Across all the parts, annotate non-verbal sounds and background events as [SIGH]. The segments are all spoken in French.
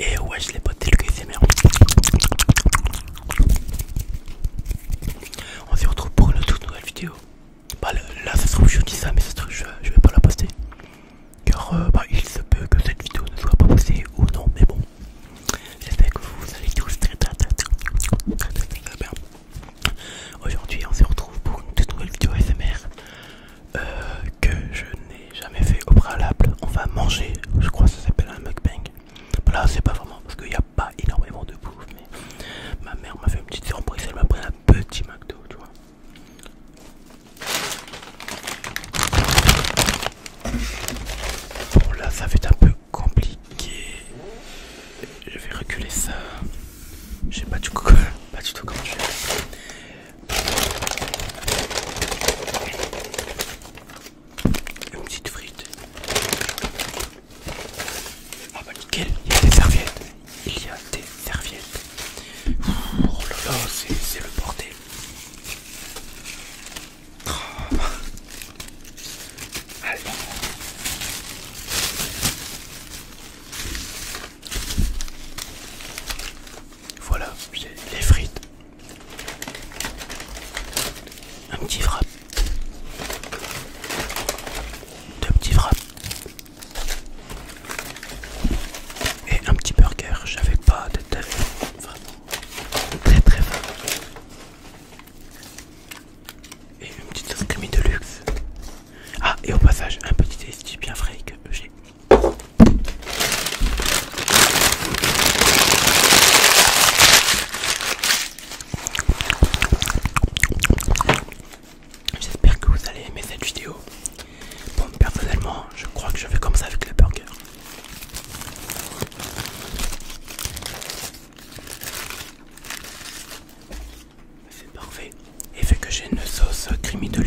Et wesh les potes, c'est le On se retrouve pour une toute nouvelle vidéo. Bah là ça se trouve je dis ça mais ça se trouve je, vais pas la poster. Car euh, bah, il se peut que cette vidéo ne soit pas postée ou non mais bon. J'espère que vous allez tous très très très très bien. Aujourd'hui on se retrouve pour une toute nouvelle vidéo SMR. Euh, que je n'ai jamais fait au préalable. On va manger, je crois que ça s'appelle un mukbang. Là, c'est pas vraiment parce qu'il n'y a pas énormément de bouffe, mais ma mère m'a fait une petite surprise, elle m'a pris un petit McDo, tu vois. Bon, là, ça fait un peu compliqué. Je vais reculer ça. Je sais pas du, coup, [LAUGHS] pas du tout comment je fais. Une petite frite. Ah bah nickel, il y a des serviettes. Il y a des serviettes. Oh là là, c'est le bordel. Ah. Allez. Voilà, j'ai les frites. Un petit frappe. Deux petits frappes. Et un petit burger. J'avais pas de Vraiment. Très très faim. Et une petite crème de luxe. Ah, et au passage, un petit tasty bien frais que j'ai J'espère que vous allez aimer cette vidéo. Bon, personnellement, je crois que je vais comme ça avec le burger. C'est parfait. Et fait que j'ai une sauce creamy de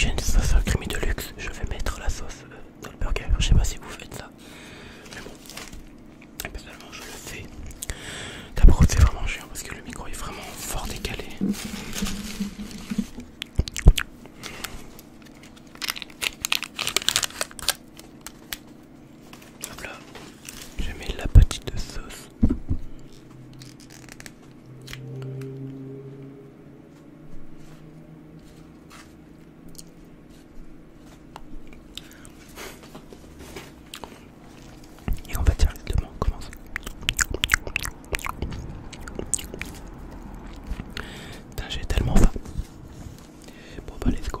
j'ai une sauce de luxe, je vais mettre la sauce euh, dans le burger. Je sais pas si vous faites ça, mais bon, personnellement je le fais. D'abord, c'est vraiment chiant parce que le micro est vraiment fort décalé. Hop là, je mis la petite sauce. Et on va dire mots Commence. Putain, j'ai tellement faim. Bon, bah, let's go.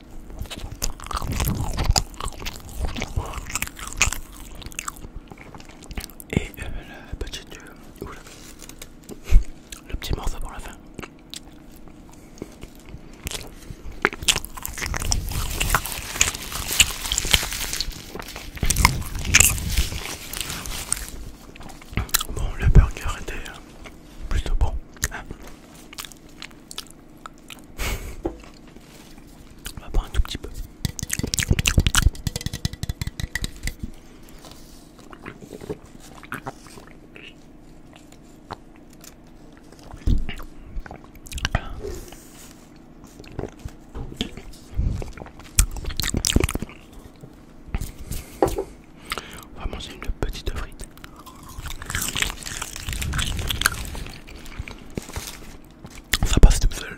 Et euh, euh, Le petit morceau pour la fin. Bon, le burger était euh, plutôt bon. Hein. On va prendre un tout petit peu. On va manger une petite frite. Ça passe tout seul.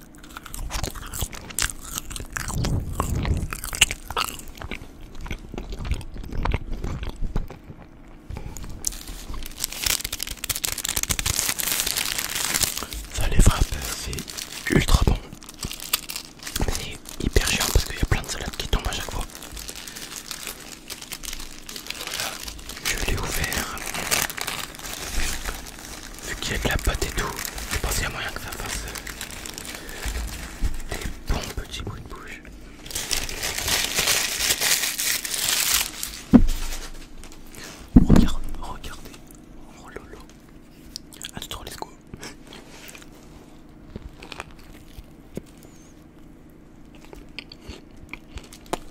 Ça les frappe, c'est ultra bon. c'est hyper chiant parce qu'il y a plein de salades qui tombent à chaque fois. Voilà, je l'ai ouvert vu qu'il y a de la pâte et tout, je pense qu'il y a moyen que ça fasse des bons petits bruits de bouche. Regarde, regardez, oh lolo, à tout let's go.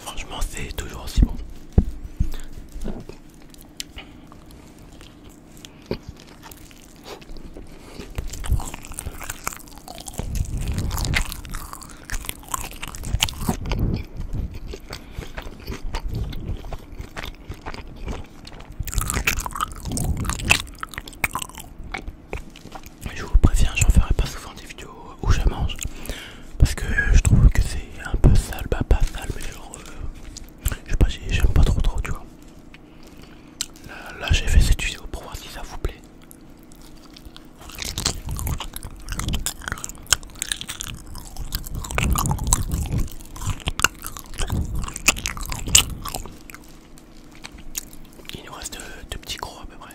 Franchement, c'est toujours aussi bon. Je vous préviens, j'en ferai pas souvent des vidéos où je mange parce que je trouve que c'est un peu sale, bah pas sale, mais genre, euh, je sais pas, j'aime pas trop trop, tu vois. Là, j'ai fait cette vidéo pour voir si ça vous plaît. Il nous reste deux petits gros à peu près.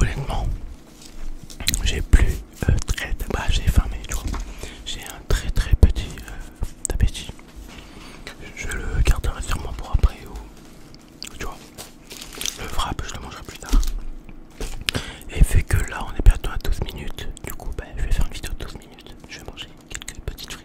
Honnêtement, j'ai plus euh, très. Bah, j'ai fermé, tu vois. J'ai un très très petit euh, Je le garderai sûrement pour après ou. Tu vois. Le frappe, je le mangerai plus tard. Et fait que là on est bientôt à 12 minutes, du coup bah, je vais faire une vidéo de 12 minutes. Je vais manger quelques petites frites.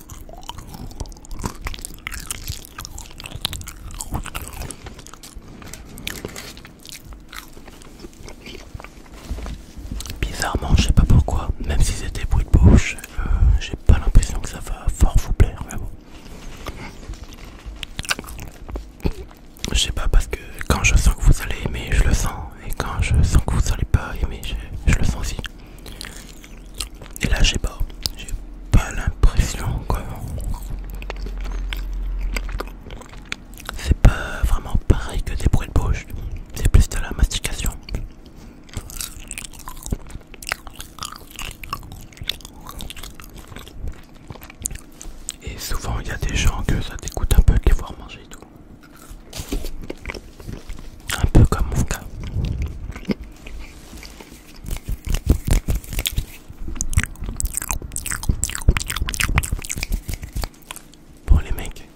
Bizarrement, je sais pas pourquoi, même si c'était bruit de bouche, euh, j'ai pas l'impression que ça va fort vous plaire, Je sais pas parce que quand je sens que vous allez aimer, je le sens, et quand je sens que vous allez pas aimer, je le sens aussi. Et là, j'ai pas, j'ai pas l'impression que c'est pas vraiment pareil que des bruits de bouche, c'est plus de la mastication. Et souvent, il y a des gens que ça dégoûte un peu de les voir manger et tout. Un peu comme Oufka Bon les mecs,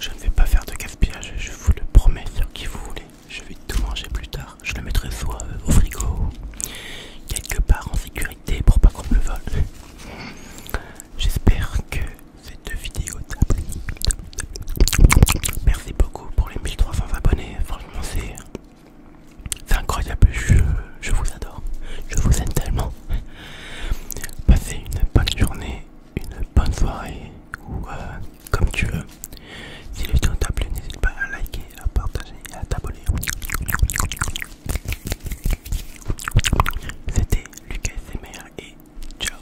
je ne vais pas faire de gaspillage, je vous le promets sur qui vous voulez. Je vais tout manger plus tard. Je le mettrai soit euh, au frigo quelque part en sécurité pour pas qu'on me le vole. [LAUGHS] J'espère que cette vidéo Merci beaucoup pour les 1300 abonnés, franchement c'est incroyable, je, je vous adore, je vous aime tellement. Passez une bonne journée, une bonne soirée ou euh, comme tu veux. Si la vidéo t'a plu, n'hésite pas à liker, à partager et à t'abonner. C'était Lucas et et ciao